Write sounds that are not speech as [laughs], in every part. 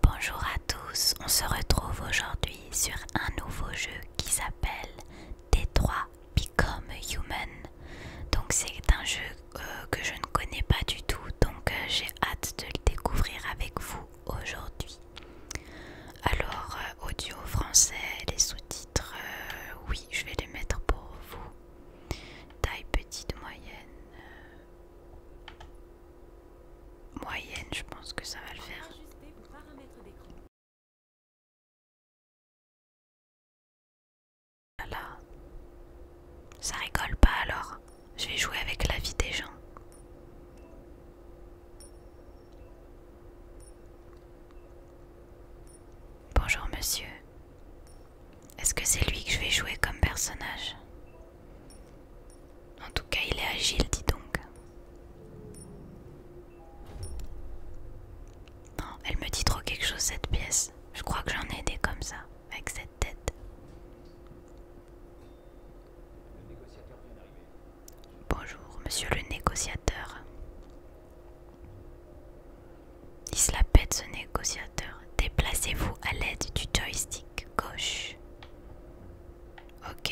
Bonjour à tous, on se retrouve aujourd'hui sur un nouveau jeu qui s'appelle T3 Become Human. Donc c'est un jeu euh, que je ne connais pas du tout, donc euh, j'ai hâte de le découvrir avec vous aujourd'hui. Alors euh, audio français, les sous-titres, oui je vais les mettre pour vous. Taille petite, moyenne moyenne, je pense que ça va le faire. Ah là, Ça rigole pas alors. Je vais jouer avec la vie des gens. Bonjour monsieur. Est-ce que c'est lui que je vais jouer comme personnage en tout cas, il est agile, dis donc. Non, elle me dit trop quelque chose cette pièce. Je crois que j'en ai des comme ça, avec cette tête. Bonjour, monsieur le négociateur. Il se la pète ce négociateur. Déplacez-vous à l'aide du joystick gauche. Ok.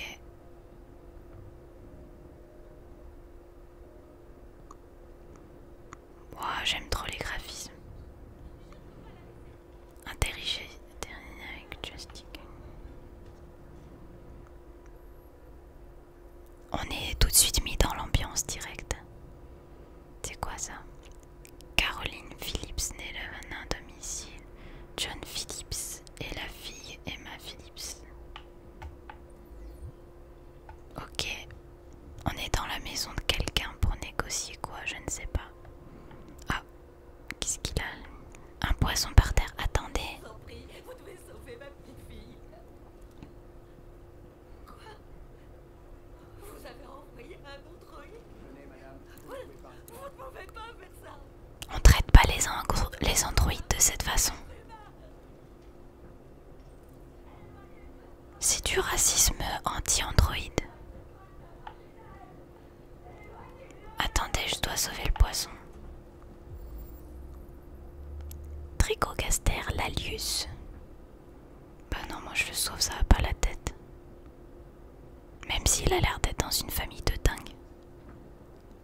Wow, j'aime trop les graphismes. terminé avec On est tout de suite mis dans l'ambiance directe. C'est quoi ça Caroline Phillips naît le un domicile. John Phillips et la fille Emma Phillips. Ok. On est dans la maison de quelqu'un pour négocier quoi, je ne sais pas. Ah, qu'est-ce qu'il a Un poisson par terre, attendez. Quoi Vous avez un on traite pas les, androïdes de cette façon. C'est du racisme anti-androïde. Attendez, je dois sauver le poisson. Tricogaster, lalius. Bah ben non, moi je le sauve, ça va pas la tête. Même s'il a l'air d'être dans une famille de dingues.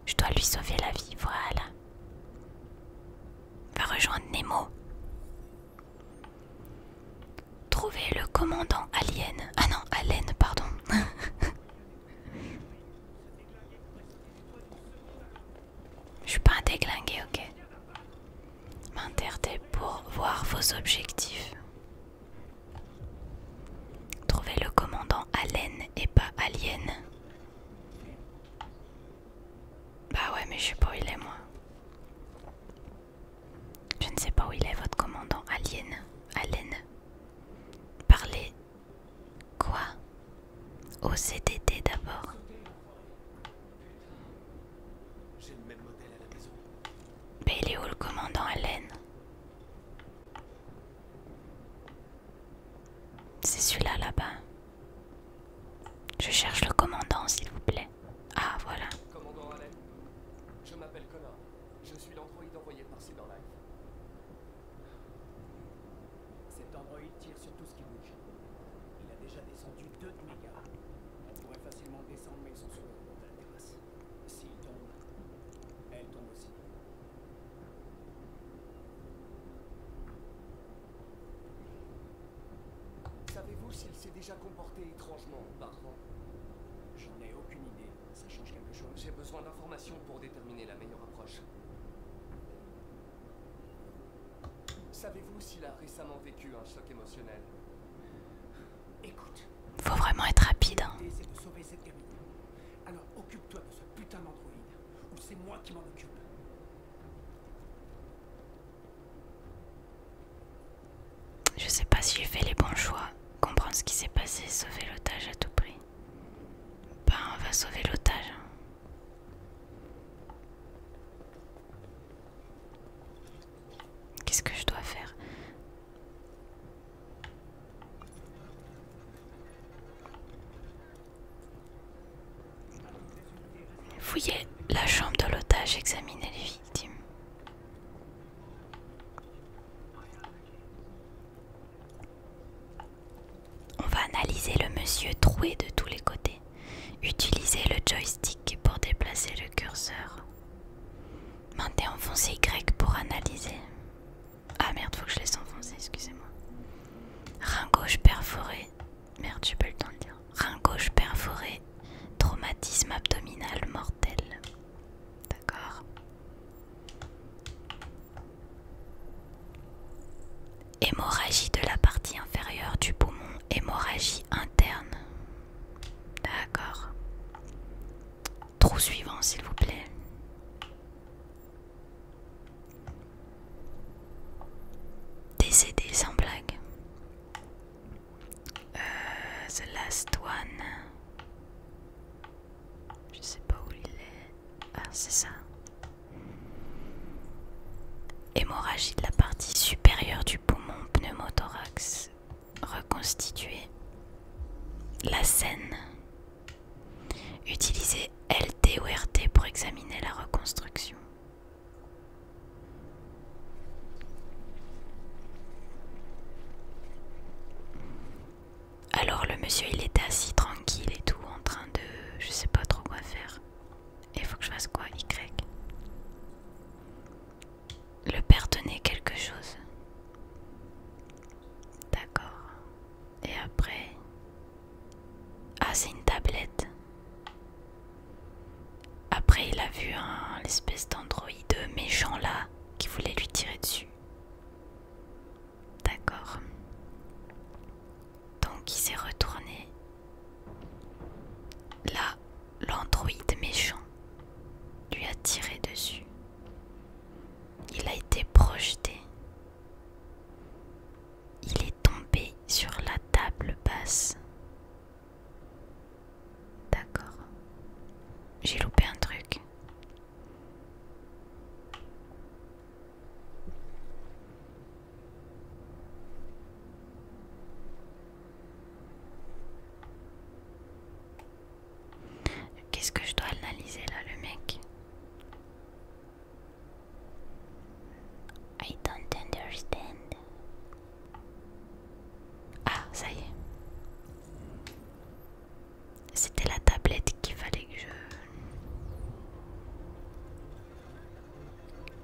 Je dois lui sauver la vie, voilà. Va rejoindre Nemo. Trouver le commandant alien. Ah non, Allen, pardon. Je suis pas un déglingué, ok. M'interter pour voir vos objectifs. Trouvez le commandant Allen et pas Alien. Bah ouais, mais je sais pas où il est moi. Je ne sais pas où il est votre commandant Alien. Allen. Parlez. Quoi Au CDT d'abord. Mais il est où le commandant Allen C'est celui-là là-bas. Je cherche le commandant, s'il vous plaît. Ah, voilà. Commandant Allen, je m'appelle Connor. Je suis l'androïde envoyé par Life. Cet androïde tire sur tout ce qui bouge. Il a déjà descendu deux de mes gars. On pourrait facilement descendre, mais ils sont sur le de la terrasse. S'il tombe, elle tombe aussi. Savez-vous s'il s'est déjà comporté étrangement Je Je ai aucune idée. Ça change quelque chose. J'ai besoin d'informations pour déterminer la meilleure approche. Savez-vous s'il a récemment vécu un choc émotionnel faut vraiment être rapide. Je sais pas si j'ai fait les bons choix. Comprendre ce qui s'est passé, sauver l'otage à tout prix. Ben, on va sauver l'otage. Hein. Qu'est-ce que je dois faire Fouillez la chambre de l'otage, examinez les victimes. On va analyser le monsieur troué de tous les côtés. Utilisez le joystick pour déplacer le curseur. Maintes enfoncé Y pour analyser. Ah merde, faut que je laisse enfoncer, excusez-moi. Rein gauche perforé. Merde, j'ai pas le temps de le dire. Rein gauche perforé. Traumatisme abdominal mortel. D'accord. Hémorragie de la partie inférieure du poumon. Hémorragie interne. D'accord. Trou suivant, s'il vous plaît. Décédé sans blague. Euh, the last one. Je sais pas où il est. Ah, c'est ça. Hémorragie de la partie supérieure du poumon pneumothorax reconstituer la scène. utiliser LT ou RT pour examiner la reconstruction. Alors le monsieur il était assis tranquille et tout en train de je sais pas trop quoi faire. Il faut que je fasse quoi Y le père donnait quelque chose. D'accord. Et après... Ah, c'est une tablette. Après, il a vu un, espèce d'androïde méchant là qui voulait lui tirer dessus. D'accord. Donc il s'est retourné. Là, l'androïde méchant lui a tiré dessus. Il a été projeté. Il est tombé sur la table basse. D'accord. J'ai loupé un truc. Qu'est-ce que je dois analyser là, le mec I don't understand. Ah, ça y est. C'était la tablette qu'il fallait que je...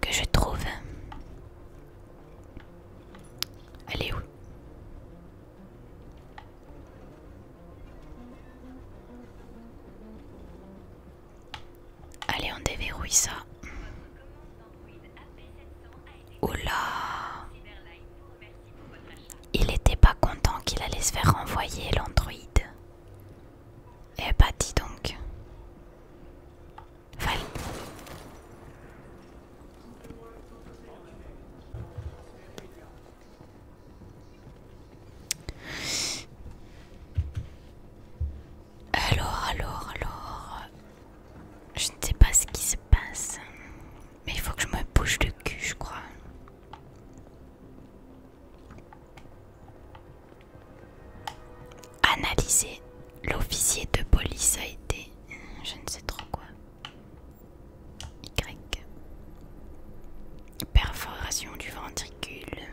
Que je trouve. Allez où Allez, on déverrouille ça. Oula Il était pas content qu'il allait se faire renvoyer l'androïde. Eh bah dis donc. Alors, alors, alors... Je ne sais pas ce qui se passe. Mais il faut que je me bouge le cul, je crois. Analyser L'officier de police a été... Je ne sais trop quoi. Y. Perforation du ventricule.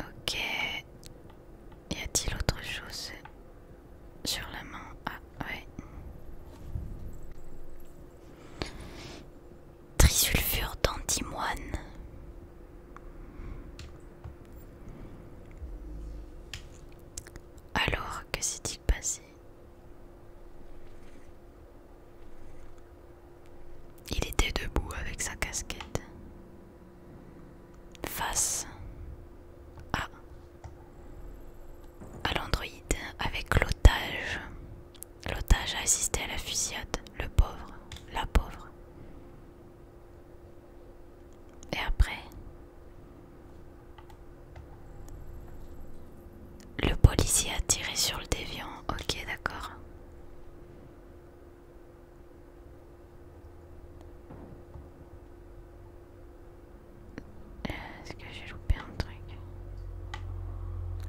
Ok. Y a-t-il autre chose sur la main Ah ouais trisulfure d'antimoine. Alors, que s'est-il passé Il était debout avec sa casquette, face à, à l'androïde avec l'otage L'otage a assisté à la fusillade, le pauvre, la pauvre. Et après, le policier a tiré sur le déviant, ok d'accord. Est-ce que j'ai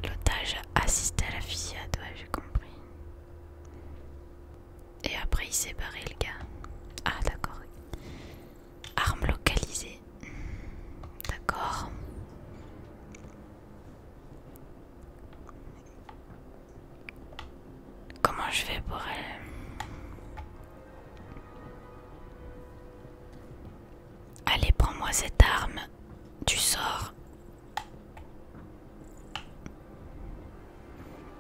L'otage assiste à la fusillade, ouais, j'ai compris. Et après, il s'est barré, le gars. Ah, d'accord. Arme localisée. D'accord. Comment je vais pour elle Allez, prends-moi cette arme. Tu sors.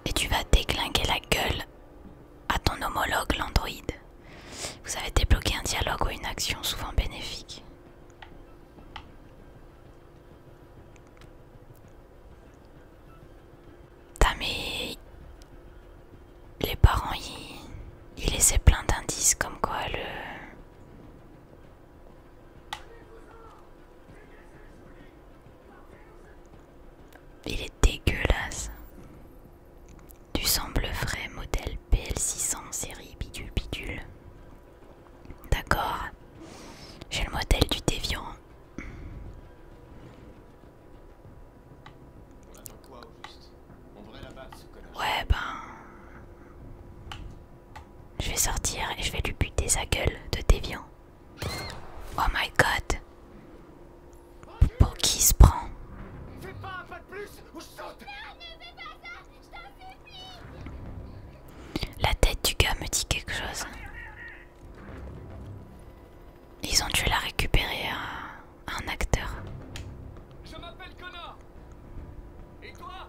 Et tu vas déglinguer la gueule à ton homologue, l'androïde. Vous avez débloqué un dialogue ou une action souvent bénéfique. T'as Les parents, ils, ils laissaient plein d'indices comme quoi le... Il est dégueulasse. Tu sembles vrai frais modèle PL600 série bidule bidule. D'accord. J'ai le modèle du déviant. Ouais, ben. Je vais sortir et je vais lui buter sa gueule de déviant. Oh my god! Pour qui se prend? La tête du gars me dit quelque chose. Ils ont dû la récupérer à un acteur. Je m'appelle et toi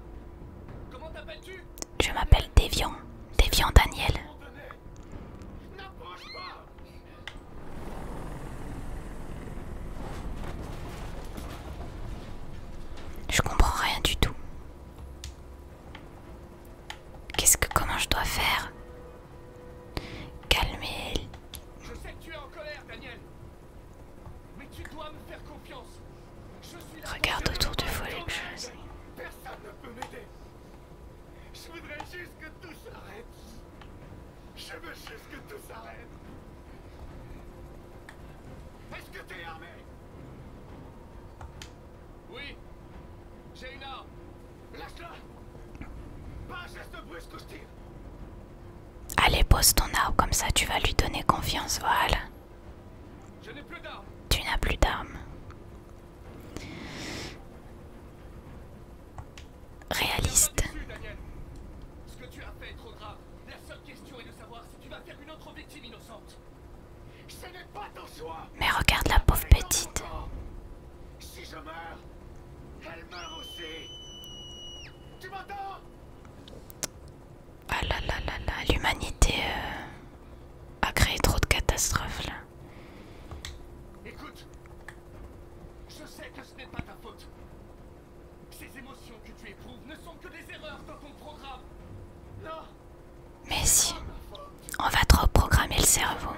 Comment t'appelles-tu Je m'appelle Déviant. Déviant Daniel. N'approche pas Je comprends rien du tout. Qu'est-ce que comment je dois faire Calmer. Je sais que tu es en colère, Daniel. Mais tu dois me faire confiance. Je suis là Regarde autour de toi, que je Personne ne peut m'aider. Je voudrais juste que tout s'arrête. Je veux juste que tout s'arrête. Est-ce que t'es armé Oui. J'ai une arme. Lâche-la. Pas un geste brusque ou Allez, pose ton arme comme ça, tu vas lui donner confiance, voilà. Je plus tu n'as plus d'armes. Réaliste. Ce que tu as fait est trop grave. La seule question est de savoir si tu vas faire une autre victime innocente. Ce n'est pas ton choix. Mais regarde la pauvre petite. Si je meurs, elle meurt aussi. Tu m'entends ah là là là l'humanité euh, a créé trop de catastrophes là. Écoute, je sais que ce n'est pas ta faute. Ces émotions que tu éprouves ne sont que des erreurs dans ton programme. Non. Mais si, on va trop programmer le cerveau.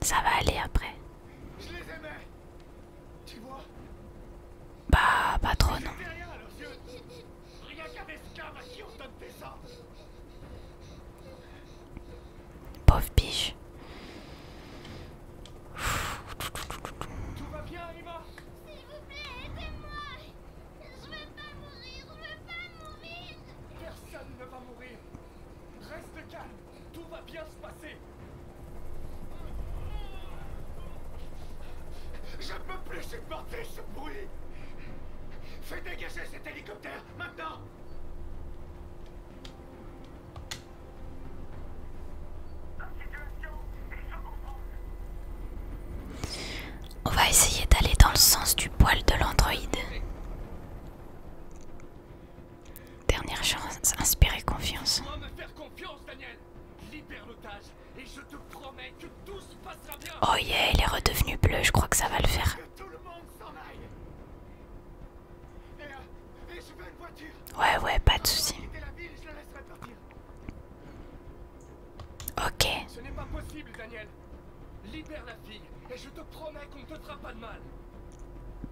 Ça va aller après. Je les aimais. Tu vois Bah, pas trop, non. Pauvre biche. Tout va bien, Emma S'il vous plaît, aidez-moi Je veux pas mourir, je veux pas mourir Personne ne va mourir Reste calme, tout va bien se passer je ne peux plus supporter ce bruit Fais dégager cet hélicoptère, maintenant On va essayer d'aller dans le sens du poil de l'androïde. Dernière chance, inspirez confiance. me faire confiance, Daniel et je te promets que tout se passera bien. Oh yeah, il est redevenu bleu, je crois que ça va le faire. Que tout le monde s'en aille. Et, euh, et je veux une voiture. Ouais, ouais, pas de soucis. Ok. Ce n'est pas possible, Daniel. Libère la fille et je te promets qu'on ne te fera pas de mal.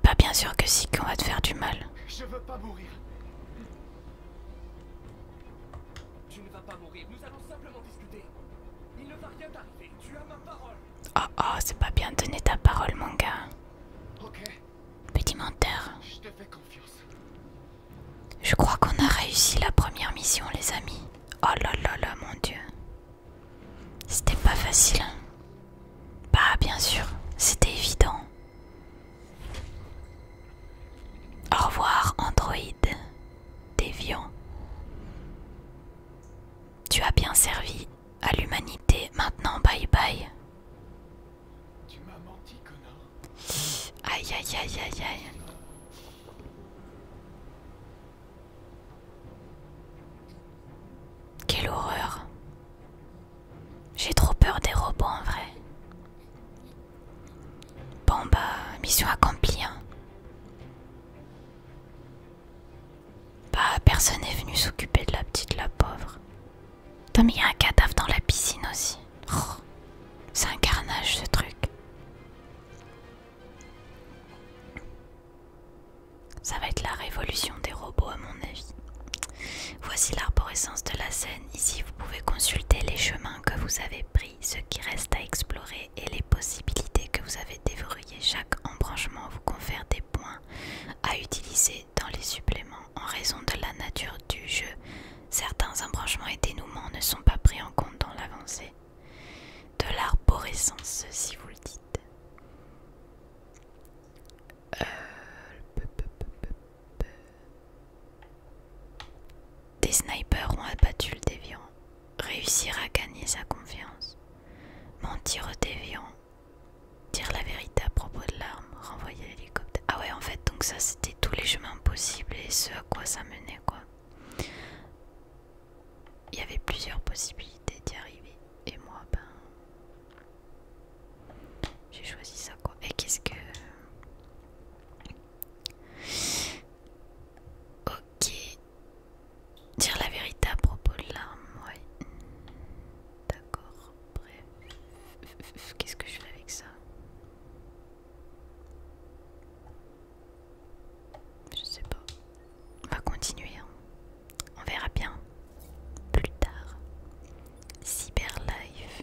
Pas bien sûr que si, qu'on va te faire du mal. Je veux pas mourir. Tu ne pas mourir, nous Oh oh, c'est pas bien de donner ta parole, mon gars. Ok. Petit menteur. Je crois qu'on a réussi la première mission, les amis. Oh là là là, mon dieu. C'était pas facile. Hein. Bah, bien sûr, c'était évident. Au revoir, Android, déviant. Tu as bien servi à l'humanité, maintenant bye bye. Tu m'as menti, connard. Aïe aïe aïe aïe aïe. Quelle horreur. J'ai trop peur des robots en vrai. Bon bah, mission accomplie. Hein. Bah, personne n'est venu s'occuper de la petite, la pauvre. T'as mis un cadavre dans la piscine aussi. Oh, c'est un carnage ce truc. Ça va être la révolution des robots à mon avis. Voici l'arborescence de la scène. Ici, vous pouvez consulter les chemins que vous avez pris, ce qui reste à explorer et les possibilités que vous avez déverrouillées. Chaque embranchement vous confère des points à utiliser dans les suppléments en raison de la nature du jeu. Certains embranchements et dénouements ne sont pas pris en compte dans l'avancée de l'arborescence, si vous le dites. Euh, des snipers ont abattu le déviant. Réussir à gagner sa confiance. Mentir au déviant. Dire la vérité à propos de l'arme. Renvoyer l'hélicoptère. Ah ouais en fait donc ça c'était tous les chemins possibles et ce à quoi ça menait quoi. Il y avait plusieurs possibilités d'y arriver. Et moi ben j'ai choisi ça quoi. Et qu'est-ce que... Ok. Dire la vérité à propos de l'arme, ouais. D'accord, bref. Qu'est-ce que je fais avec ça Je sais pas. On va continuer. Hein. On verra bien. Plus tard. Cyberlife.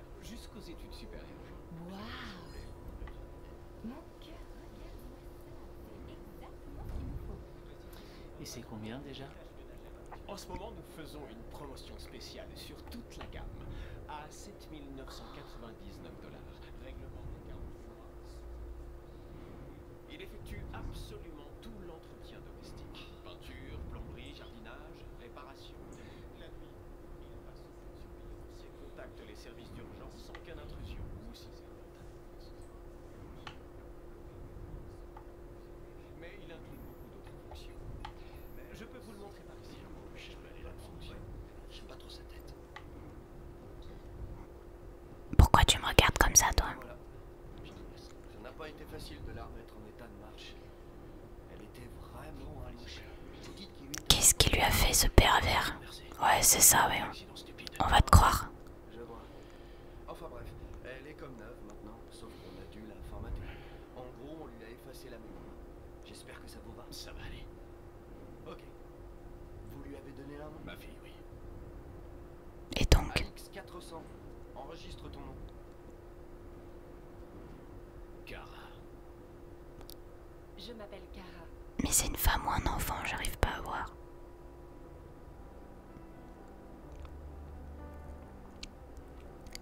jusqu'aux études supérieures. Waouh Et c'est combien déjà En ce moment, nous faisons une promotion spéciale sur toute la gamme à 7999 dollars. Règlement des fois. Il effectue absolument tout l'entretien domestique. Peinture, plomberie, jardinage, réparation. La nuit, Contacte les services d'urgence sans aucune intrusion, vous aussi. Mais il inclut beaucoup d'autres fonctions. Je peux vous le montrer par ici. Je peux aller là-dedans. J'aime pas trop sa tête. Pourquoi tu me regardes comme ça, toi voilà. Ça n'a pas été facile de la remettre en état de marche. Qu'est-ce qui lui a fait ce pervers Ouais, c'est ça, ouais. On va te croire. Je vois. Enfin bref, elle est comme neuve maintenant, sauf qu'on a dû la formater. En gros, on lui a effacé la mémoire. J'espère que ça vous va. Ça va aller. Ok. Vous lui avez donné la nom Ma fille, oui. Et donc 400, enregistre ton nom. Car... Je m'appelle Cara. Mais c'est une femme ou un enfant, j'arrive pas à voir.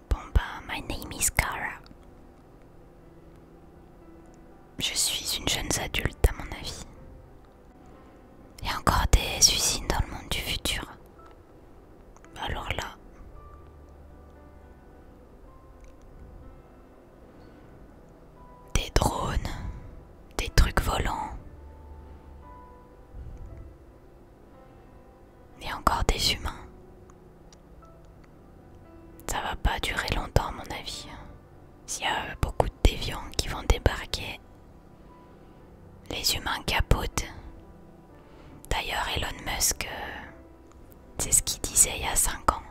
Bon bah, my name is Kara. Je suis une jeune adulte à mon avis. Il y a encore des usines dans le monde du futur. Alors là des drones, des trucs volants, et encore des humains. Ça va pas durer longtemps, à mon avis. S'il y a beaucoup de déviants qui vont débarquer, les humains capotent. D'ailleurs, Elon Musk euh, c'est ce qu'il disait il y a 5 ans,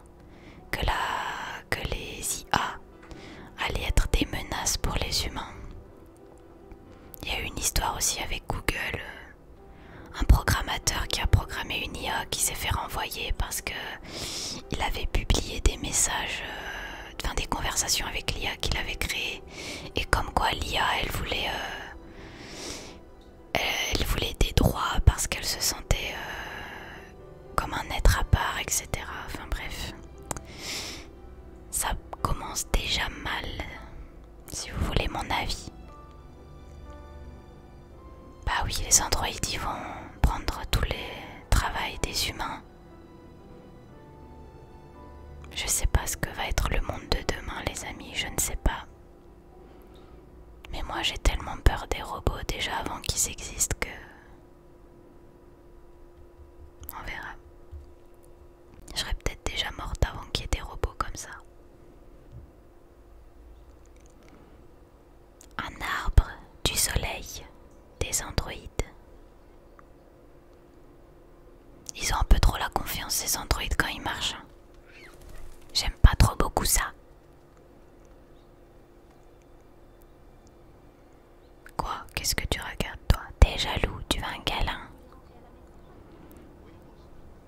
que, la, que les IA allaient être des menaces pour les humains. Il y a eu une histoire aussi avec Google, un programmateur qui a programmé une IA qui s'est fait renvoyer parce que il avait publié des messages, euh, enfin des conversations avec l'IA qu'il avait créées, et comme quoi l'IA elle voulait euh, euh, elle voulait des droits parce qu'elle se sentait euh, comme un être à part, etc. Enfin bref, ça commence déjà mal, si vous voulez mon avis. Bah oui, les androïdes vont prendre tous les travails des humains. Je sais pas ce que va être le monde de demain, les amis, je ne sais pas. Mais moi j'ai tellement peur des robots déjà avant qu'ils existent que... On verra. Je serais peut-être déjà morte avant qu'il y ait des robots comme ça. Un arbre du soleil des androïdes. Ils ont un peu trop la confiance ces androïdes quand ils marchent. J'aime pas trop beaucoup ça. Quoi Qu'est-ce que tu regardes toi T'es jaloux, tu veux un câlin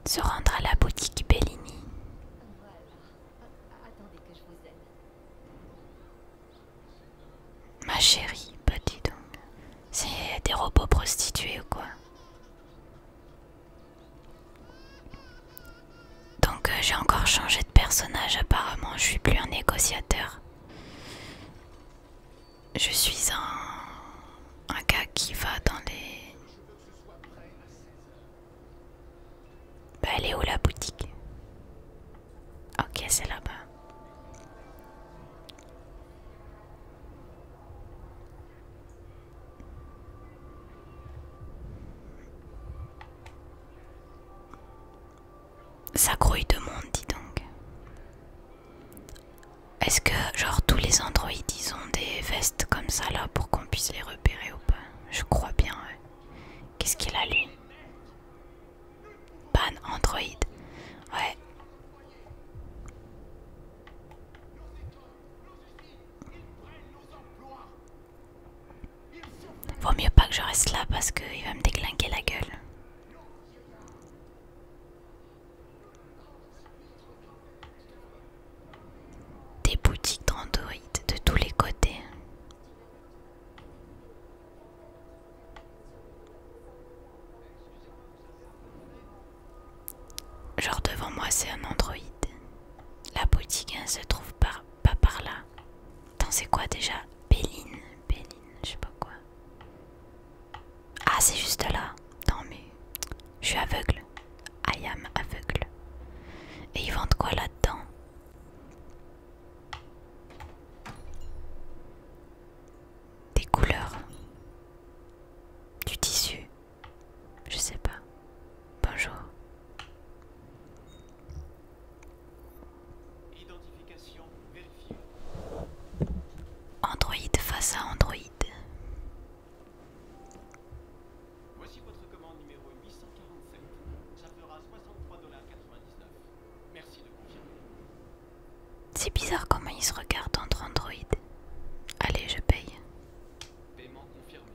Se rendre à la boutique Bellini. Ma chérie, petit bah donc. C'est des robots prostitués ou quoi donc euh, j'ai encore changé de personnage apparemment, je suis plus un négociateur. Je suis un, un gars qui va dans les... Bah elle est où la boutique Ok c'est là-bas. Ça grouille de monde, dis donc. Est-ce que, genre, tous les androïdes, ils ont des vestes comme ça là pour qu'on puisse les repérer ou pas Je crois bien, Qu'est-ce qu'il a lui Ban androïde. Ouais. Vaut mieux pas que je reste là parce qu'il va me déglinguer la gueule. Des boutiques d'android de tous les côtés. Genre devant moi c'est un androïde. La boutique hein, se trouve par, pas par là. Dans c'est quoi déjà Béline, Béline, je sais pas quoi. Ah c'est juste là. Non mais je suis aveugle. I am aveugle. Et ils vendent quoi là-dedans Des couleurs. Du tissu. Je sais pas. Bonjour. Identification vérifiée. Android face à Android. Voici votre commande numéro 847. Ça fera 63,99$. Merci de confirmer. C'est bizarre comment ils se regardent entre Android. Allez, je paye. Paiement confirmé.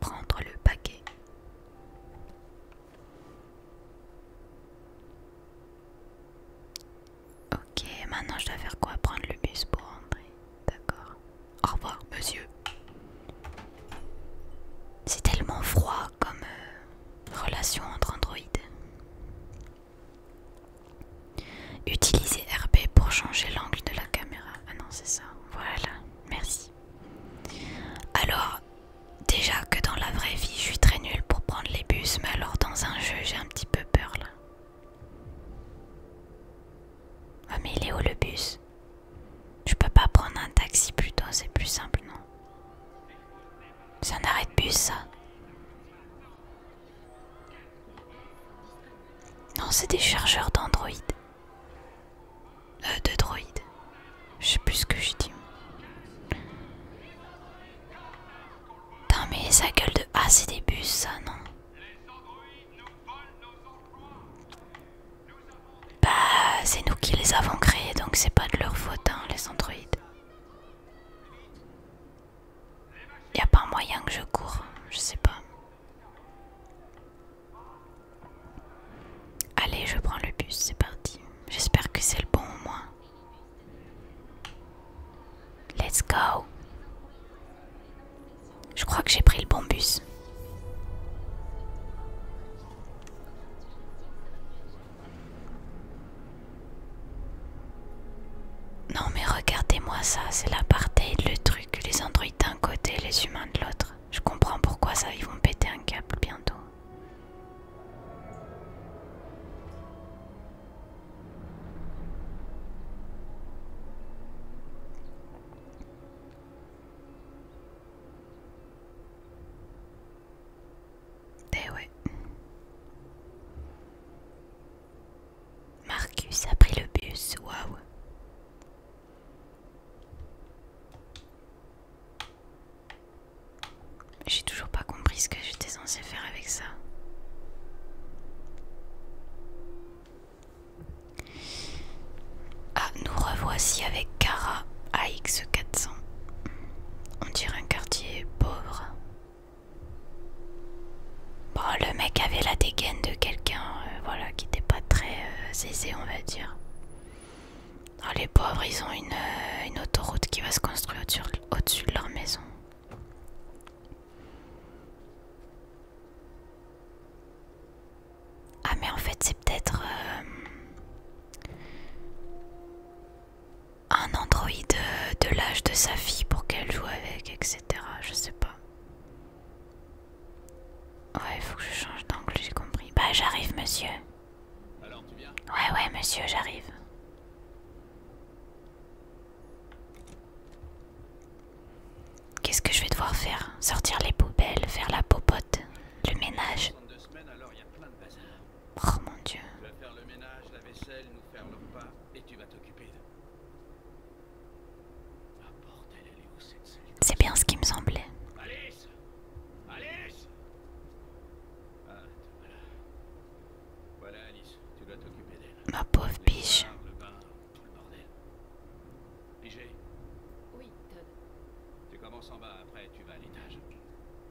Prendre le paquet. Ok, maintenant je dois faire quoi Prendre le bus pour rentrer. D'accord. Au revoir, monsieur. C'est tellement froid comme euh, relation entre androïdes. Utiliser RP pour changer l'angle de la caméra. Ah non, c'est ça. Voilà, merci. Alors, déjà que dans la vraie vie, je suis très nulle pour prendre les bus, mais alors dans un jeu, j'ai un petit peu peur là. Ah, mais il est où le bus Je peux pas prendre un taxi plus tôt, c'est plus simple, non C'est un arrêt de bus ça non, c'est des chargeurs d'Android. Euh, de droïdes. Je sais plus ce que je dis Non mais sa gueule de. Ah, c'est des bus, ça, non? Bah, c'est nous qui les avons créés, donc c'est pas de leur faute, hein, les androïdes. Il n'y a pas moyen que je cours, je sais pas. Allez, je prends le bus, c'est parti. J'espère que c'est le bon au moins. Let's go. Je crois que j'ai pris le bon bus. Non mais regardez-moi ça, c'est l'apartheid, le truc, les androïdes d'un côté, les humains de l'autre. Je comprends pourquoi ça, ils vont péter un câble bientôt. Eh ouais. Marcus a pris le bus, waouh. J'ai toujours pas compris ce que j'étais censé faire avec ça. Ah, nous revoici avec Cara AX400. On dirait un quartier pauvre. Bon, le mec avait la dégaine de quelqu'un euh, voilà, qui n'était pas très euh, aisé, on va dire. Ah, les pauvres, ils ont euh, une, autoroute qui va se construire au-dessus de leur maison. Ah, mais en fait, c'est peut-être un androïde euh, de l'âge de sa fille pour qu'elle joue avec, etc. Je sais pas. Ouais, il faut que je change d'angle, j'ai compris. Bah, j'arrive, monsieur. Alors, tu viens Ouais, ouais, monsieur, j'arrive. Qu'est-ce que je vais devoir faire Sortir les poubelles, faire la popote, le ménage. Oh mon dieu. Tu vas faire le ménage, la vaisselle, nous faire le repas et tu vas t'occuper de. Ah bordel, elle est où cette C'est bien ce qui me semblait. Alice Alice Ah, voilà. Voilà Alice, tu dois t'occuper d'elle. Ma pauvre biche. Le bain, tout le bordel. Pigé Oui, Todd. Tu commences en bas, après tu vas à l'étage.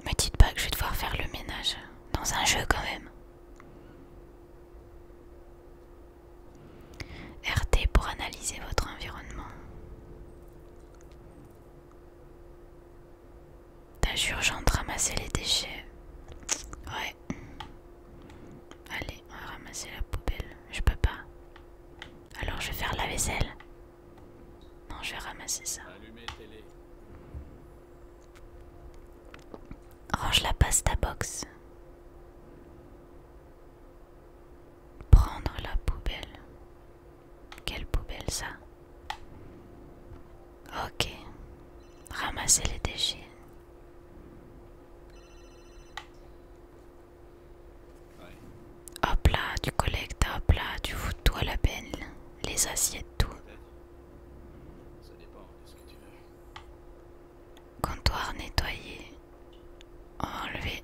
Me dites pas que je vais devoir faire le ménage dans un jeu quand même. RT pour analyser votre environnement. Tâche urgente, ramasser les déchets. Ouais. Allez, on va ramasser la poubelle. Je peux pas. Alors je vais faire la vaisselle. Non, je vais ramasser ça. Range oh, la pasta box. Prendre la poubelle. Quelle poubelle ça Ok. Ramasser les déchets. Hop là, tu collectes, hop là, tu foutes tout la peine. Les assiettes, tout. Ça dépend de ce que tu veux. Comptoir nettoyé. Enlevé.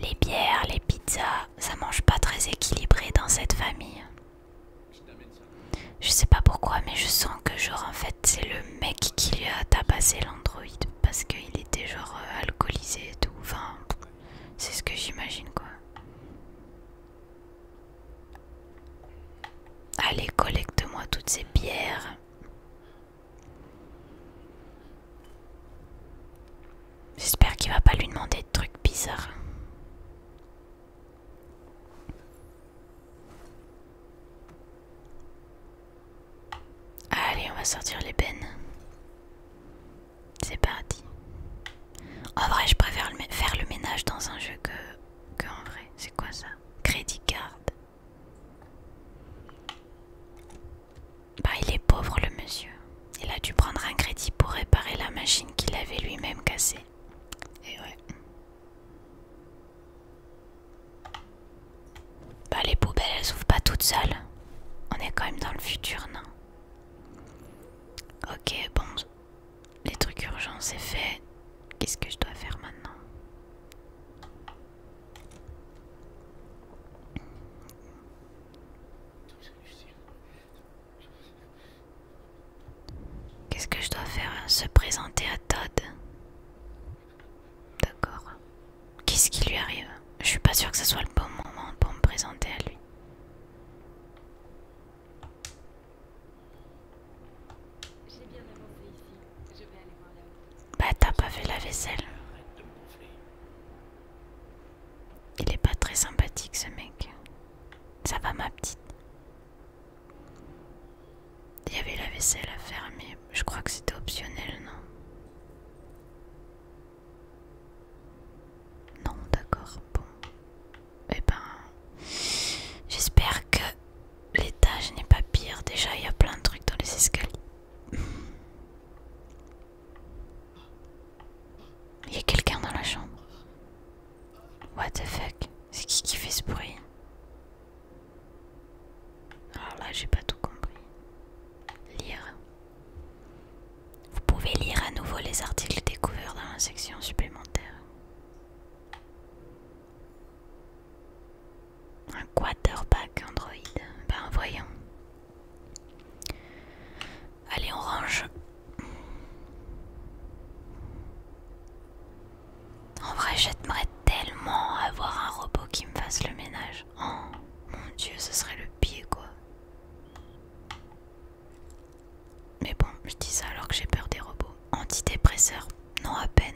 Les bières, les pizzas, ça mange pas très équilibré dans cette famille. Je sais pas pourquoi, mais je sens que genre en fait c'est le mec qui lui a tabassé l'android parce qu'il était genre euh, alcoolisé et tout. Enfin, c'est ce que j'imagine quoi. Allez, collecte-moi toutes ces pierres. J'espère qu'il va pas lui demander de trucs bizarres. Allez, on va sortir l'ébène. C'est parti. En vrai, je préfère faire le ménage dans un jeu que, que en vrai. C'est quoi ça Crédit card. Bah, il est pauvre le monsieur. Il a dû prendre un crédit pour réparer la machine qu'il avait lui-même cassée. Et ouais. Bah, les poubelles, elles s'ouvrent pas toutes seules. On est quand même dans le futur, non Ok, bon, les trucs urgents c'est fait. Qu'est-ce que je dois faire maintenant Qu'est-ce que je dois faire Se présenter à Todd D'accord. Qu'est-ce qui lui arrive Je suis pas sûr que ce soit le bon moment pour me présenter à lui. Bah t'as pas fait la vaisselle. Il est pas très sympathique ce mec. Ça va ma petite. Il y avait la vaisselle à faire mais je crois que c'était optionnel, non non, d'accord, bon. Eh ben, j'espère que l'étage n'est pas pire. Déjà, il y a plein de trucs dans les escaliers. Il y a quelqu'un dans la chambre. What the fuck C'est qui qui fait ce bruit Alors là, j'ai pas tout compris. Lire. Vous pouvez lire à nouveau les articles découverts dans la section supplémentaire. Un quarterback Android. Ben voyons. Allez, on range. En vrai, j'aimerais tellement avoir un robot qui me fasse le ménage. Oh mon dieu, ce serait le pied quoi. Mais bon, je dis ça alors que j'ai peur des robots. Antidépresseur Non, à peine.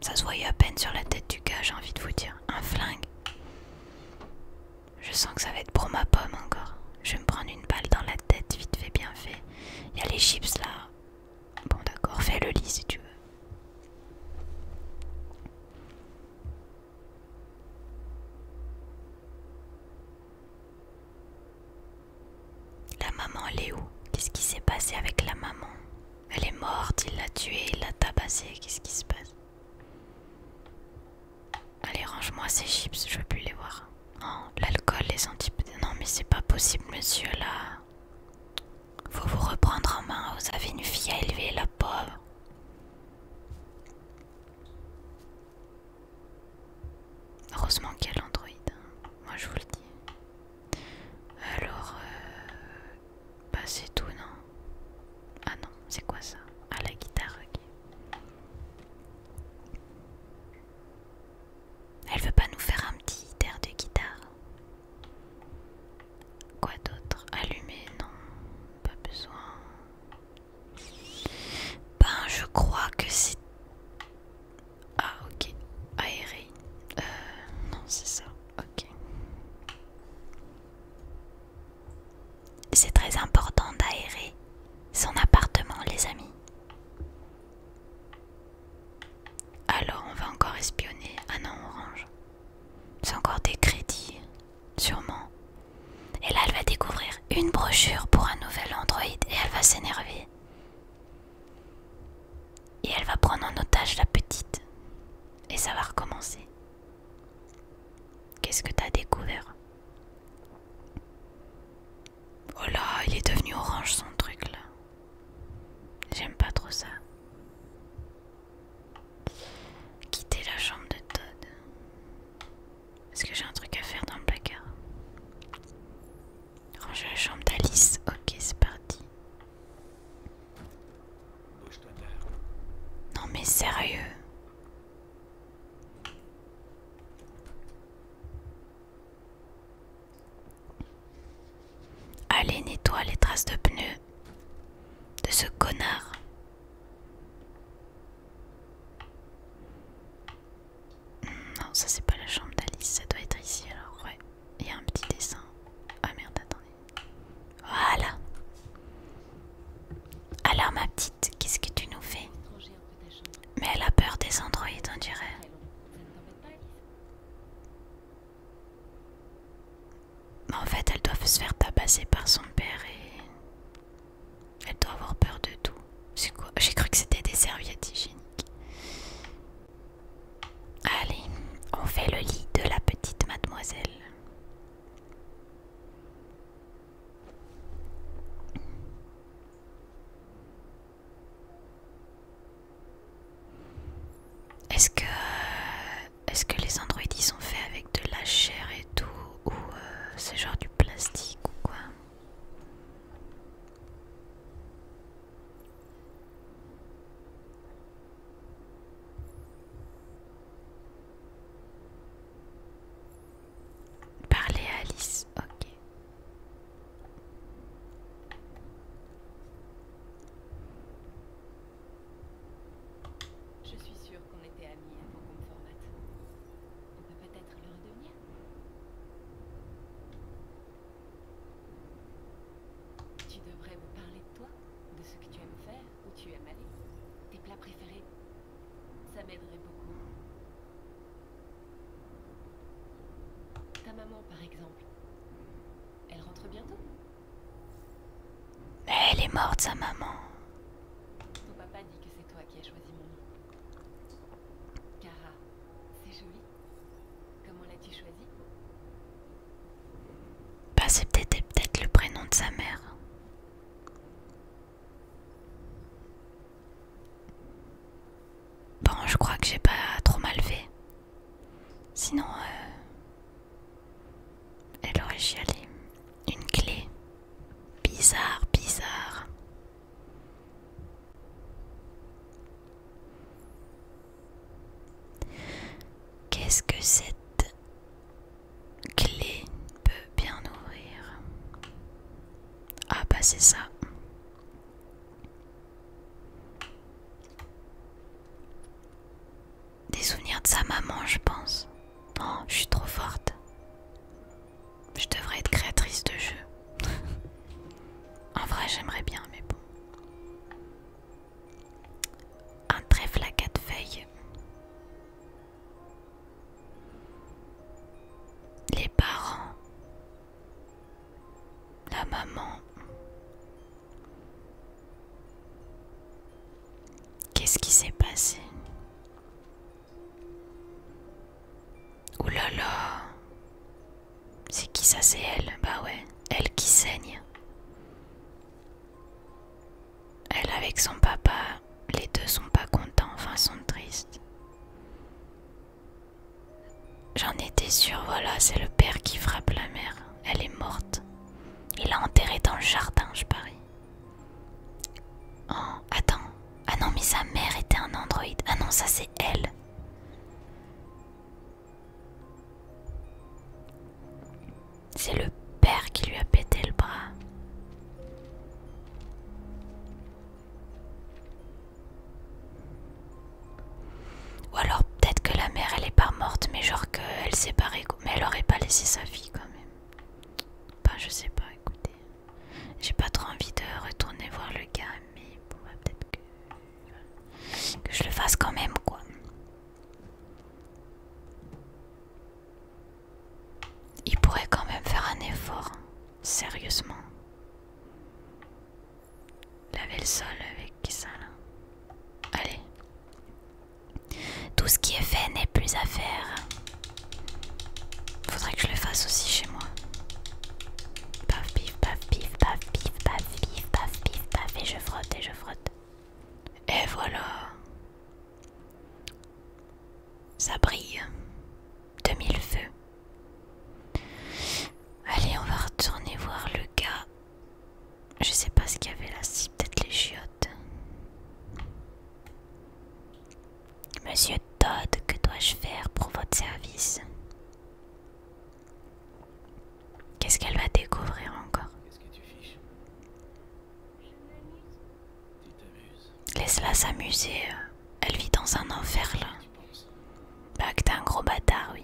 Ça se voyait à peine sur la tête du gars, j'ai envie de vous dire. Un flingue Je sens que ça va être pour ma pomme encore. Je vais me prendre une balle dans la tête, vite fait, bien fait. Il y a les chips là. Bon, d'accord, fais le lit si tu veux. La maman, elle est où Qu'est-ce qui s'est passé avec la maman Elle est morte, il l'a tuée, il l'a tabassée, qu'est-ce qui se passe Allez, range-moi ces chips, je veux plus les voir. Oh, l'alcool, les antipodes, Non, mais c'est pas possible, monsieur, là. Faut vous reprendre en main, vous avez une fille à élever, la pauvre. Heureusement qu'il y a hein. moi je vous le dis. Alors, euh, bah c'est tout, non Ah non, c'est quoi ça Ah, la guitare, ok. Elle veut pas nous faire un petit air de guitare Quoi d'autre Allumer, non, pas besoin. Ben, je crois que c'est. Ah, ok. Aéré. Euh, non, c'est ça. Ok. C'est très important d'aérer son appartement, les amis. Alors, on va encore espionner. Ah non, orange. C'est encore des crédits sûrement. Et là, elle va découvrir une brochure pour un nouvel Android et elle va s'énerver. Et elle va prendre en otage la petite. Et ça va recommencer. Qu'est-ce que t'as découvert Oh là, il est devenu orange son truc là. J'aime pas trop ça. Quitter la chambre de Todd. Est-ce que j'ai un truc à faire dans le placard Ranger la chambre d'Alice. Ok, c'est parti. Non mais sérieux Allez, nettoie les traces de pneus de ce connard. Non, ça c'est pas la chambre d'Alice, ça doit être ici alors, ouais. Il y a un petit dessin. Ah merde, attendez. Voilà. Alors ma petite, qu'est-ce que tu nous fais Mais elle a peur des androïdes, on dirait. En fait, elles doivent se faire tabasser par son père et elle doit avoir peur de tout. C'est quoi J'ai cru que c'était des serviettes hygiéniques. Allez, on fait le lit de la petite mademoiselle. Est-ce que, est que les androïdes sont faits avec de la chair et tout, ou euh, c'est genre du plastique ou quoi. Parler à Alice, ok. Je suis sûre qu'on était amis avant qu'on me formate. On peut peut-être tu devrais me parler de toi, de ce que tu aimes faire, où tu aimes aller, tes plats préférés. Ça m'aiderait beaucoup. Ta maman, par exemple, elle rentre bientôt. Mais elle est morte, sa maman. Ton papa dit que c'est toi qui as choisi mon nom. Cara, c'est joli. Comment l'as-tu choisi Bah c'est peut-être peut le prénom de sa mère. Bon, je crois que j'ai pas trop mal fait. Sinon, euh, elle aurait chialé. Une clé. Bizarre, bizarre. Qu'est-ce que cette clé peut bien ouvrir Ah bah c'est ça. Des souvenirs de sa maman, je pense. Non, je suis trop forte. Je devrais être créatrice de jeux. [laughs] en vrai, j'aimerais bien, mais bon. Un très à quatre feuilles. Les parents. La maman. Qu'est-ce qui s'est passé Ouh là là C'est qui ça C'est elle Bah ouais, elle qui saigne. Elle avec son papa, les deux sont pas contents, enfin sont tristes. J'en étais sûre, voilà, c'est le père qui frappe la mère. Elle est morte. Il l'a enterrée dans le jardin, je parie. Oh, attends. Ah non, mais sa mère était un androïde. Ah non, ça c'est elle. C'est le père qui lui a pété le bras. Ou alors peut-être que la mère elle est pas morte, mais genre qu'elle s'est barrée. Mais elle aurait pas laissé sa fille quand même. je sais pas, écoutez. J'ai pas trop envie de retourner voir le gars, mais il bah, peut-être que... que je le fasse quand même, quoi. Il pourrait quand même faire un effort, sérieusement. Laver le sol avec ça là. Allez. Tout ce qui est fait n'est plus à faire. Faudrait que je le fasse aussi chez moi. Paf, pif, paf, pif, paf, pif, paf, pif, paf, pif, paf, et je frotte, et je frotte. Et voilà. Ça brille. 2000 feux. Allez, on va retourner voir le gars. Je sais pas ce qu'il y avait là, si peut-être les chiottes. Monsieur Todd, que dois-je faire pour votre service Qu'est-ce qu'elle va découvrir encore Laisse-la s'amuser. Elle vit dans un enfer là. Bah que t'es un gros bâtard, oui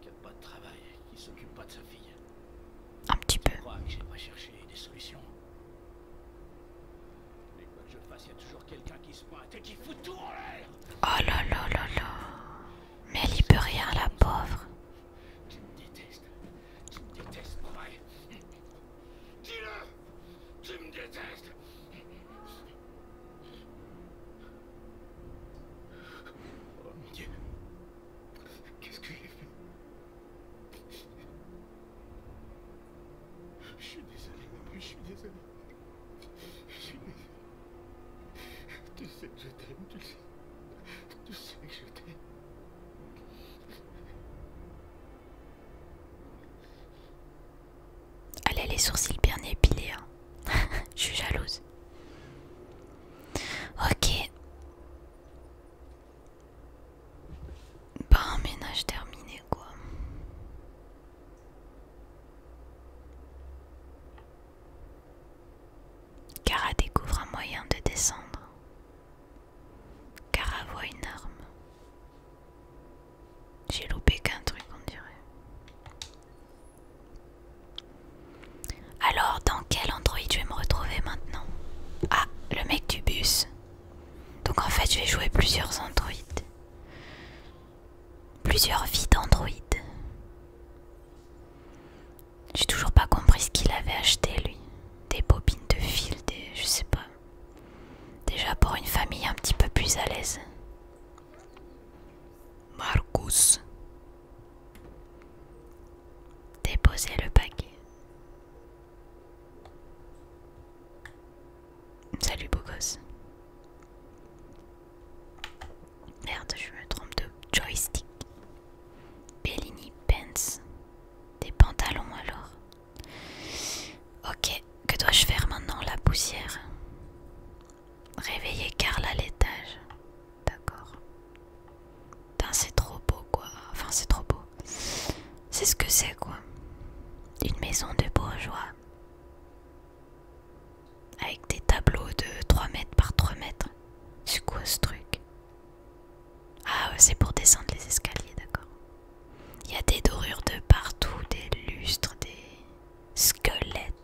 qui a pas de travail, qui s'occupe pas de sa fille. Un petit peu. Je crois que j'ai pas cherché des solutions. Mais quoi que je fasse, il y a toujours quelqu'un qui se pointe et qui fout tout en l'air. Oh là là là là. Mais elle y peut rien, la pauvre. Tu me détestes. Tu me détestes, pareil. Dis-le. Tu me détestes. Oh mon dieu. Qu'est-ce que j'ai fait Je suis désolé, maman, je suis désolé. Je suis désolé. Tu sais que je t'aime, tu sais. Tu sais que je t'aime. Elle a les sourcils bien épilés. Hein. [laughs] je suis jalouse. Ok. pas un ménage terminé quoi. Kara découvre un moyen de descendre. Kara voit une arme. J'ai loupé qu'un truc on dirait. Alors, dans quel Android je vais me retrouver maintenant Ah, le mec du bus. Donc en fait, je vais jouer plusieurs androïdes Plusieurs vies d'androïdes J'ai toujours pas compris ce qu'il avait acheté lui. Des bobines de fil, des. je sais pas. Déjà pour une famille un petit peu plus à l'aise. Marcus. Déposez le paquet. Salut beau gosse. Merde, je me trompe de joystick. Bellini Pants. Des pantalons alors. Ok, que dois-je faire maintenant La poussière. Réveiller Karl à l'étage. D'accord. Putain, c'est trop beau quoi. Enfin, c'est trop beau. C'est ce que c'est quoi. Une maison de bourgeois. Avec des tableaux de 3 mètres par 3 mètres. C'est quoi ce truc Ah, c'est pour descendre les escaliers, d'accord. Il y a des dorures de partout, des lustres, des squelettes.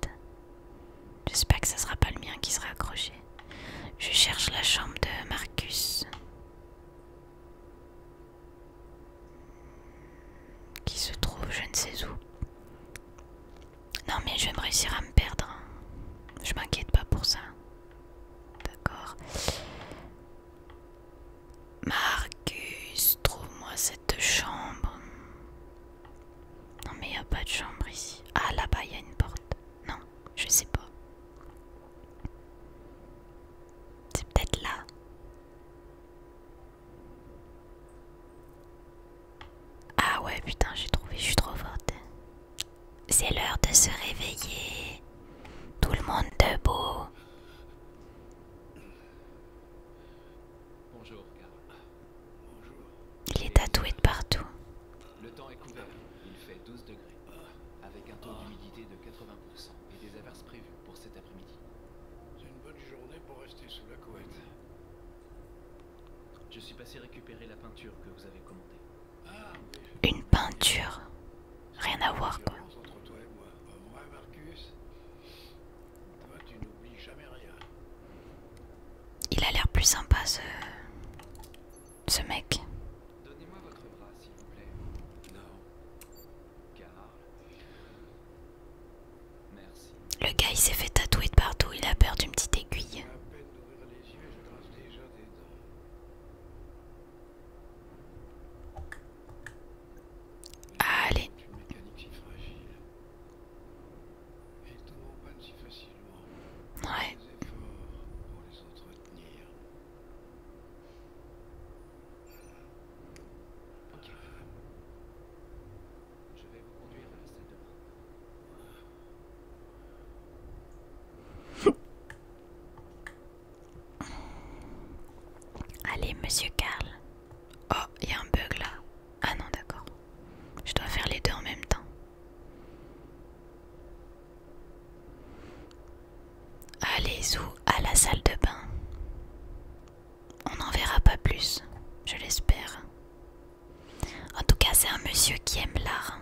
J'espère que ça sera pas le mien qui sera accroché. Je cherche la chambre de Marcus. Qui se trouve je ne sais où. Non mais je vais me réussir à me perdre. Hein. Je m'inquiète pas pour ça. D'accord. Marcus, trouve-moi cette chambre. Non mais il a pas de chambre ici. Ah là-bas il y a une porte. Non, je sais pas. C'est peut-être là. Ah ouais putain j'ai trouvé, je suis trop forte. C'est l'heure de se réveiller. Tout le monde debout. Bonjour, Il est tatoué de partout. Le temps est couvert. Il fait 12 degrés. Avec un taux ah. d'humidité de 80% et des averses prévues pour cet après-midi. C'est une bonne journée pour rester sous la couette. Je suis passé récupérer la peinture que vous avez commandée. Ah, Une peinture Rien à voir quoi. moi. Marcus Toi, tu n'oublies jamais rien. Il a l'air plus sympa ce, ce mec. Donnez-moi votre bras, s'il vous plaît. Non. Car... Merci. Le gars il s'est fait tatouer de partout, il a peur d'une petite aiguille. Allez. fragile. Et tout mon panne Ouais. [laughs] Allez, monsieur Karl. Oh, il y a un bug là. Ah non, d'accord. Je dois faire les deux en même temps. Allez vous à la salle de bain. On n'en verra pas plus, je l'espère. En tout cas, c'est un monsieur qui aime l'art.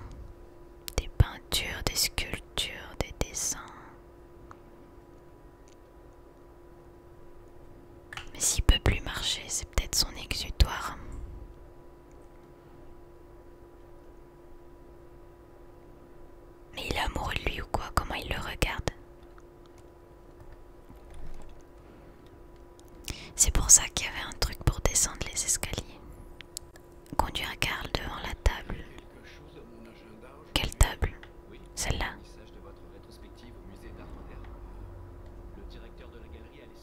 Des peintures, des sculptures, des dessins. Mais s'il peut plus marcher, c'est peut-être son exutoire. Mais il est amoureux de lui ou quoi Comment il le regarde C'est pour ça qu'il y avait un truc pour descendre les escaliers. Conduire Karl devant la table. Quelle table Celle-là.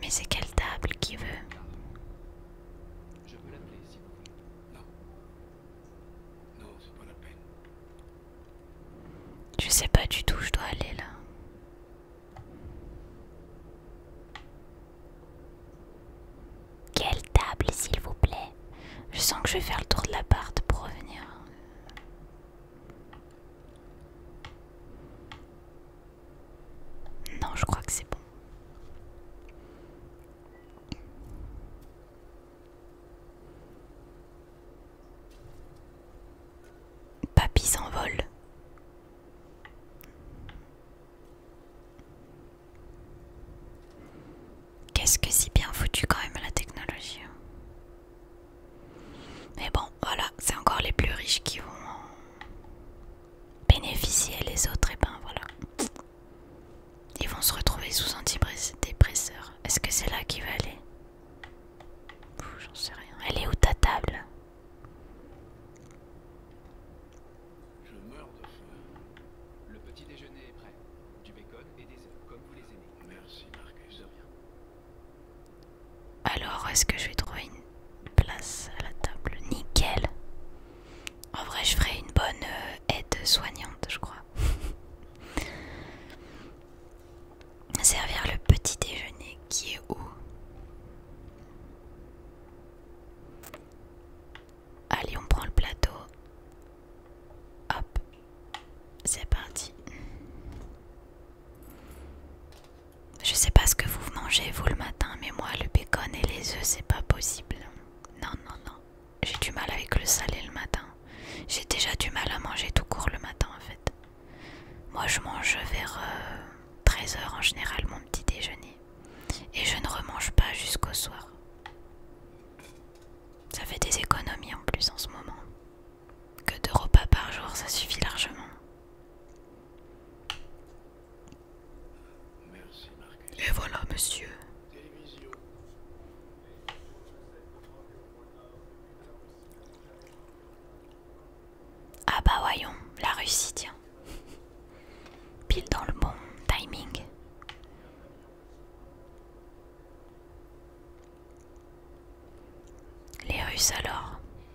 Mais c'est quelle table qui veut Je peux l'appeler Non. Je sais pas du tout, je dois aller là. Quelle table, s'il vous plaît Je sens que je vais faire le tour de l'appart pour revenir. Non, je crois que c'est bon. Papy s'envole. Qu'est-ce que si bien foutu quand même la technologie. Hein. Mais bon, voilà, c'est encore les plus riches qui vont hein bénéficier les autres, et eh ben voilà. Ils vont se retrouver sous dépresseur. Est-ce que c'est là qu'il va aller J'en sais rien. Elle est où ta table Je meurs de faim. Le petit déjeuner est prêt. Du bacon et des œufs, comme vous les aimez. Merci Marcus. De rien. Alors, est-ce que je vais trouver une place à la table Nickel En vrai, je ferai une bonne euh, aide soignante, je crois. [laughs] Servir le petit déjeuner qui est où Allez, on prend le plateau. Hop, c'est parti. Je sais pas ce que vous mangez vous le matin, mais moi le bacon et les œufs c'est pas possible. Non non non, j'ai du mal avec le salé le matin. J'ai déjà du mal à manger tout court le matin en fait. Moi je mange vers 13h euh, en général mon petit déjeuner et je ne remange pas jusqu'au soir. Ça fait des économies en plus en ce moment. Que deux repas par jour ça suffit largement. Et voilà, monsieur. Ah bah voyons, la Russie, tiens. Pile dans le bon timing. Les Russes alors.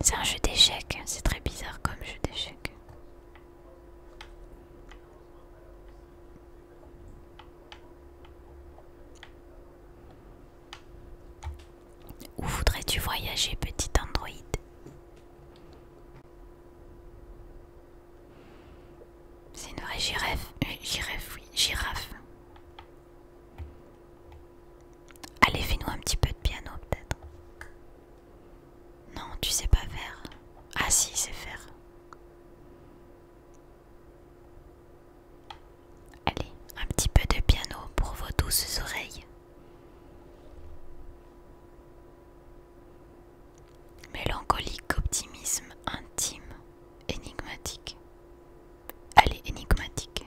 C'est un jeu d'échecs, c'est très bizarre comme jeu d'échecs. Où voudrais-tu voyager, petit androïde C'est une vraie euh, girafe, oui, girafe. Allez, fais-nous un petit peu de piano, peut-être. Non, tu sais pas faire. Ah si, c'est faire. Allez, un petit peu de piano pour vos douces oreilles. Mélancolique optimisme intime, énigmatique. Allez, énigmatique.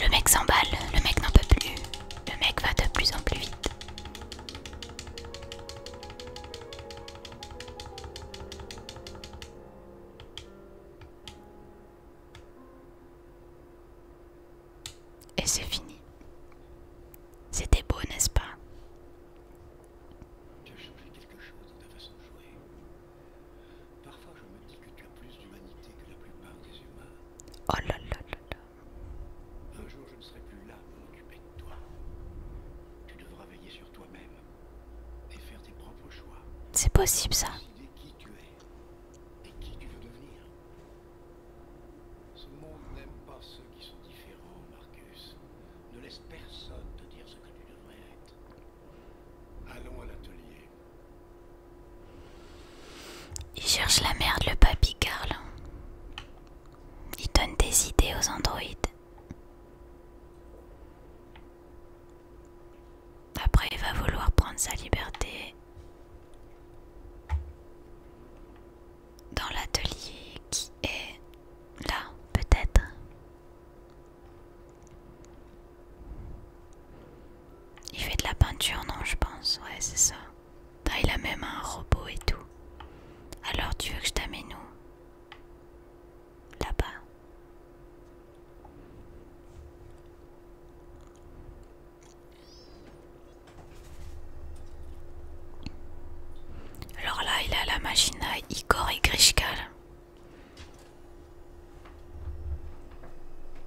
Le mec s'emballe, le mec n'en peut plus, le mec va de plus en plus vite. Et c'est fini. C'était beau, n'est-ce pas Tu as changé quelque chose dans ta façon de jouer. Parfois je me dis que tu as plus d'humanité que la plupart des humains. Oh là là là. Un jour, je ne serai plus là pour m'occuper de toi. Tu devras veiller sur toi-même et faire tes propres choix. C'est possible ça. es et qui tu veux devenir. Ce monde n'aime pas ceux qui sont différents, Marcus. Ne laisse personne te dire ce que tu devrais être. Allons à l'atelier. Il cherche la merde, le papy Carl. Il donne des idées aux androïdes. Après, il va vouloir prendre sa liberté dans l'atelier qui est là, peut-être. Il fait de la peinture, non, je pense. Ouais, c'est ça. T'as il a même un robot et tout. Alors tu veux que je t'amène où Là-bas. Alors là, il a la machine à Igor et Grischkal.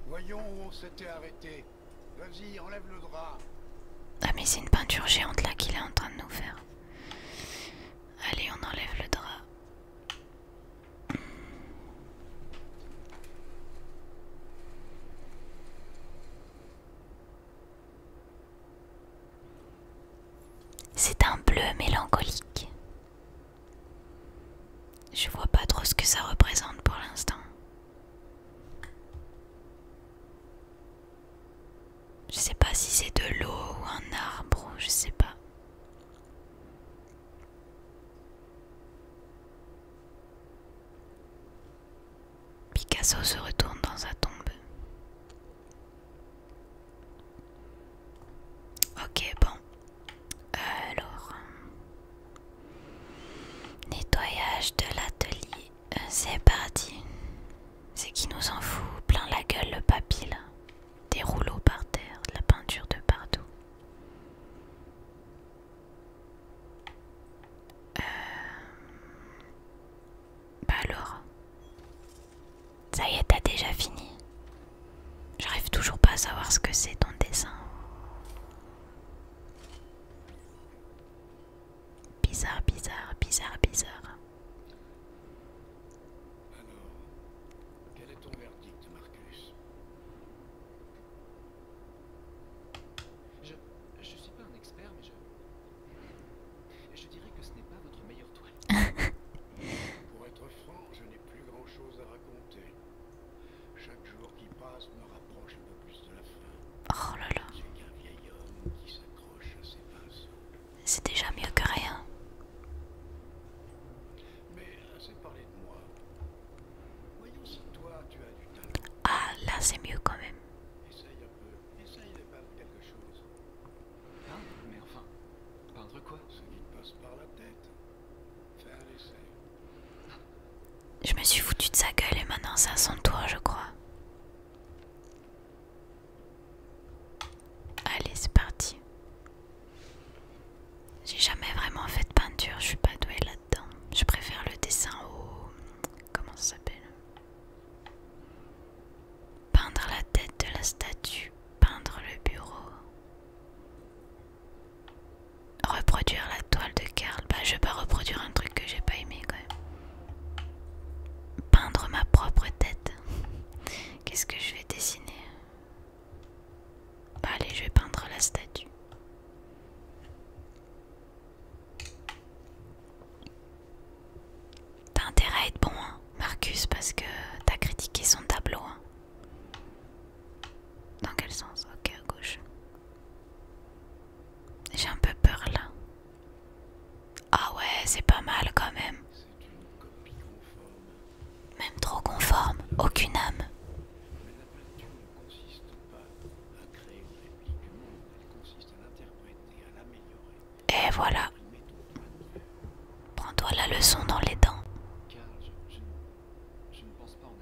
Voyons où on s'était arrêté. Vas-y, enlève le drap. Ah mais c'est une peinture géante là qu'il est en train de nous faire. Allez, on enlève le drap. C'est un bleu mélancolique. Je vois pas trop ce que ça représente pour l'instant. Je sais pas si c'est de l'eau ou un arbre, je sais pas. Picasso se retourne dans sa tombe. Ok, bon. alors... Nettoyage de l'atelier. Euh, c'est parti. C'est qui nous en fout plein la gueule le papy Des rouleaux par terre, de la peinture de partout. Euh... Bah alors. Ça y est, t'as déjà fini. J'arrive toujours pas à savoir ce que c'est ton dessin. Bizarre, bizarre, bizarre, bizarre. Alors, quel est ton verdict, Marcus Je ne suis pas un expert, mais je... Je dirais que ce n'est pas votre meilleure toile. [laughs] Pour être franc, je n'ai plus grand-chose à raconter. Chaque jour qui passe me rapproche un peu plus de la fin. Oh là là. C'est qu'un vieil homme qui s'accroche à ses pinceaux. C'est déjà mieux que rien. Mais c'est parler de moi. Voyons si toi tu as du talent. Ah là c'est mieux quand même. Essaye un peu. Essaye de peindre quelque chose. Hein Mais enfin. Peindre quoi Ce qui te passe par la tête. Je me suis foutu de sa gueule et maintenant c'est à son tour, je crois. Allez, c'est parti. J'ai jamais vraiment fait de peinture, je suis pas douée là-dedans. Je préfère le dessin au. Comment ça s'appelle Peindre la tête de la statue, peindre le bureau. Reproduire la toile de Karl. Bah, je vais pas reproduire un truc que j'ai pas aimé quand même. Peindre ma propre tête. Qu'est-ce que je vais dessiner Bah, allez, je vais peindre la statue. T'as intérêt à être bon, hein, Marcus, parce que t'as critiqué son tableau. Hein. Dans quel sens Ok, à gauche. J'ai un peu peur là. Ah ouais, c'est pas mal quand même. Même trop conforme, aucune âme. Mais la peinture ne consiste pas à créer une réplique du monde, elle consiste à l'interpréter, à l'améliorer. Et voilà. Prends-toi la leçon dans les dents. Car je, je, ne pense pas en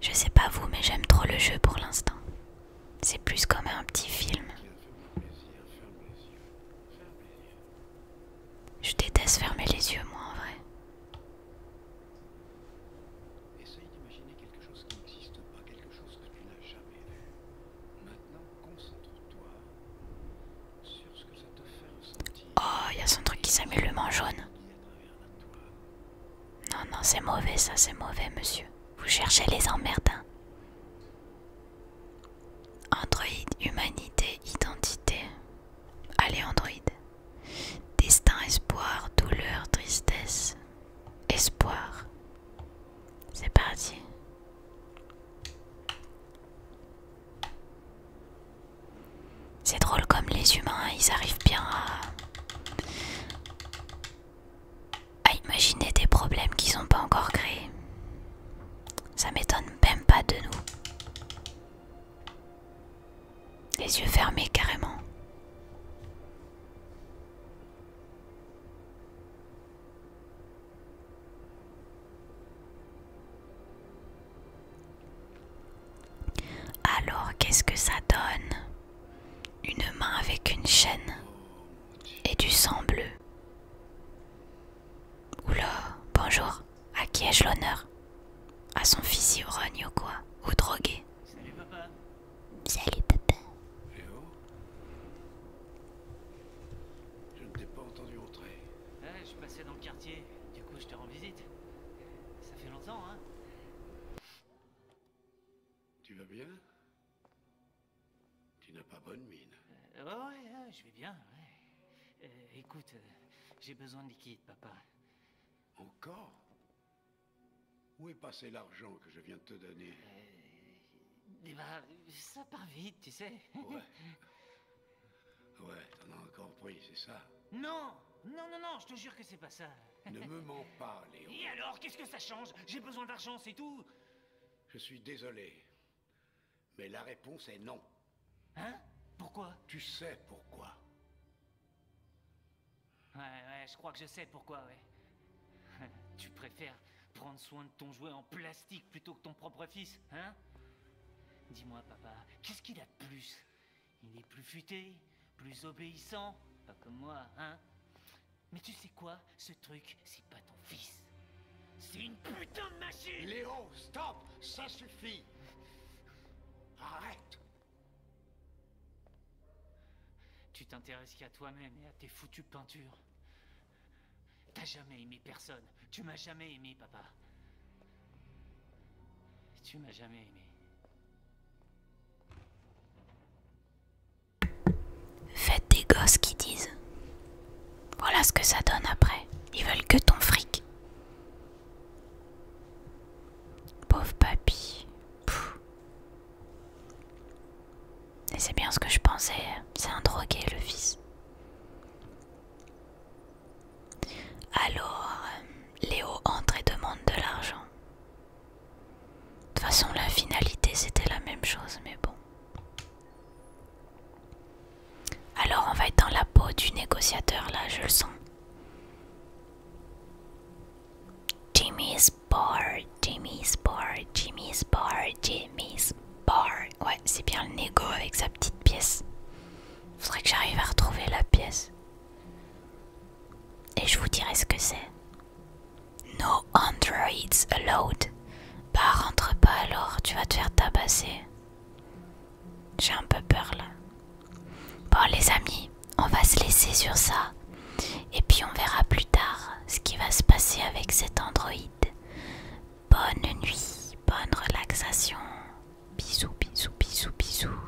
je sais pas vous, mais j'aime trop le jeu pour l'instant. C'est plus comme un petit film. Je déteste fermer les yeux, moi en vrai. Essaye d'imaginer quelque chose qui n'existe pas, quelque chose que tu n'as jamais vu. Maintenant, concentre-toi sur ce que ça te fait ressentir. Oh, il y a son truc qui s'appelle le jaune. Non, non, c'est mauvais ça, c'est mauvais, monsieur. Vous cherchez les emmerdins. Hein. Android, humanité, identité. Allez, Android. Destin, espoir, douleur, tristesse espoir. C'est parti. C'est drôle comme les humains, ils arrivent bien à, imaginer des problèmes qu'ils n'ont pas encore créés. Ça m'étonne même pas de nous. Les yeux fermés carrément. Alors qu'est-ce que ça donne Une main avec une chaîne et du sang bleu. Oula, bonjour, à qui ai-je l'honneur À son fils ou quoi Ou drogué Salut papa. Eh Je ne t'ai pas entendu entrer. Eh, je je passais dans le quartier, du coup je te rends visite. Ça fait longtemps, hein Tu vas bien Tu n'as pas bonne mine. Euh, ouais, ouais, je vais bien, ouais. Euh, écoute, euh, j'ai besoin de liquide, papa. Encore où est passé l'argent que je viens de te donner euh, Eh ben, ça part vite, tu sais. Ouais. [laughs] Ouais, t'en as encore pris, c'est ça Non Non, non, non, je te jure que c'est pas ça. Ne me mens pas, Léo. Et alors, qu'est-ce que ça change J'ai besoin d'argent, c'est tout Je suis désolé. Mais la réponse est non. Hein Pourquoi Tu sais pourquoi. Ouais, ouais, je crois que je sais pourquoi, ouais. [laughs] tu préfères prendre soin de ton jouet en plastique plutôt que ton propre fils, hein Dis-moi, papa, qu'est-ce qu'il a de plus Il est plus futé, plus obéissant, pas comme moi, hein Mais tu sais quoi Ce truc, c'est pas ton fils. C'est une putain de machine Léo, stop Ça suffit Arrête tu t'intéresses qu'à toi-même et à tes foutues peintures. T'as jamais aimé personne. Tu m'as jamais aimé, papa. Tu m'as jamais aimé. Faites des gosses qui disent. Voilà ce que ça donne après. Ils veulent que ton fric. Pauvre papy, et c'est bien ce que je pensais, hein. c'est un drogué le fils. Alors, euh, Léo entre et demande de l'argent. De toute façon, la finalité c'était la même chose, mais bon. Alors on va être dans la peau du négociateur là, je le sens. Jimmy Bar, Jimmy bar, Jimmy bar, Jimmy bar. Ouais, c'est bien le négo avec sa petite pièce. Faudrait que j'arrive à retrouver la pièce. Et je vous dirai ce que c'est. No androids allowed. Bah rentre pas alors, tu vas te faire tabasser. J'ai un peu peur là. Bon les amis, on va se laisser sur ça. Et puis on verra plus tard ce qui va se passer avec cet androïde. Bonne nuit, bonne relaxation. Bisous, bisous, bisous, bisous.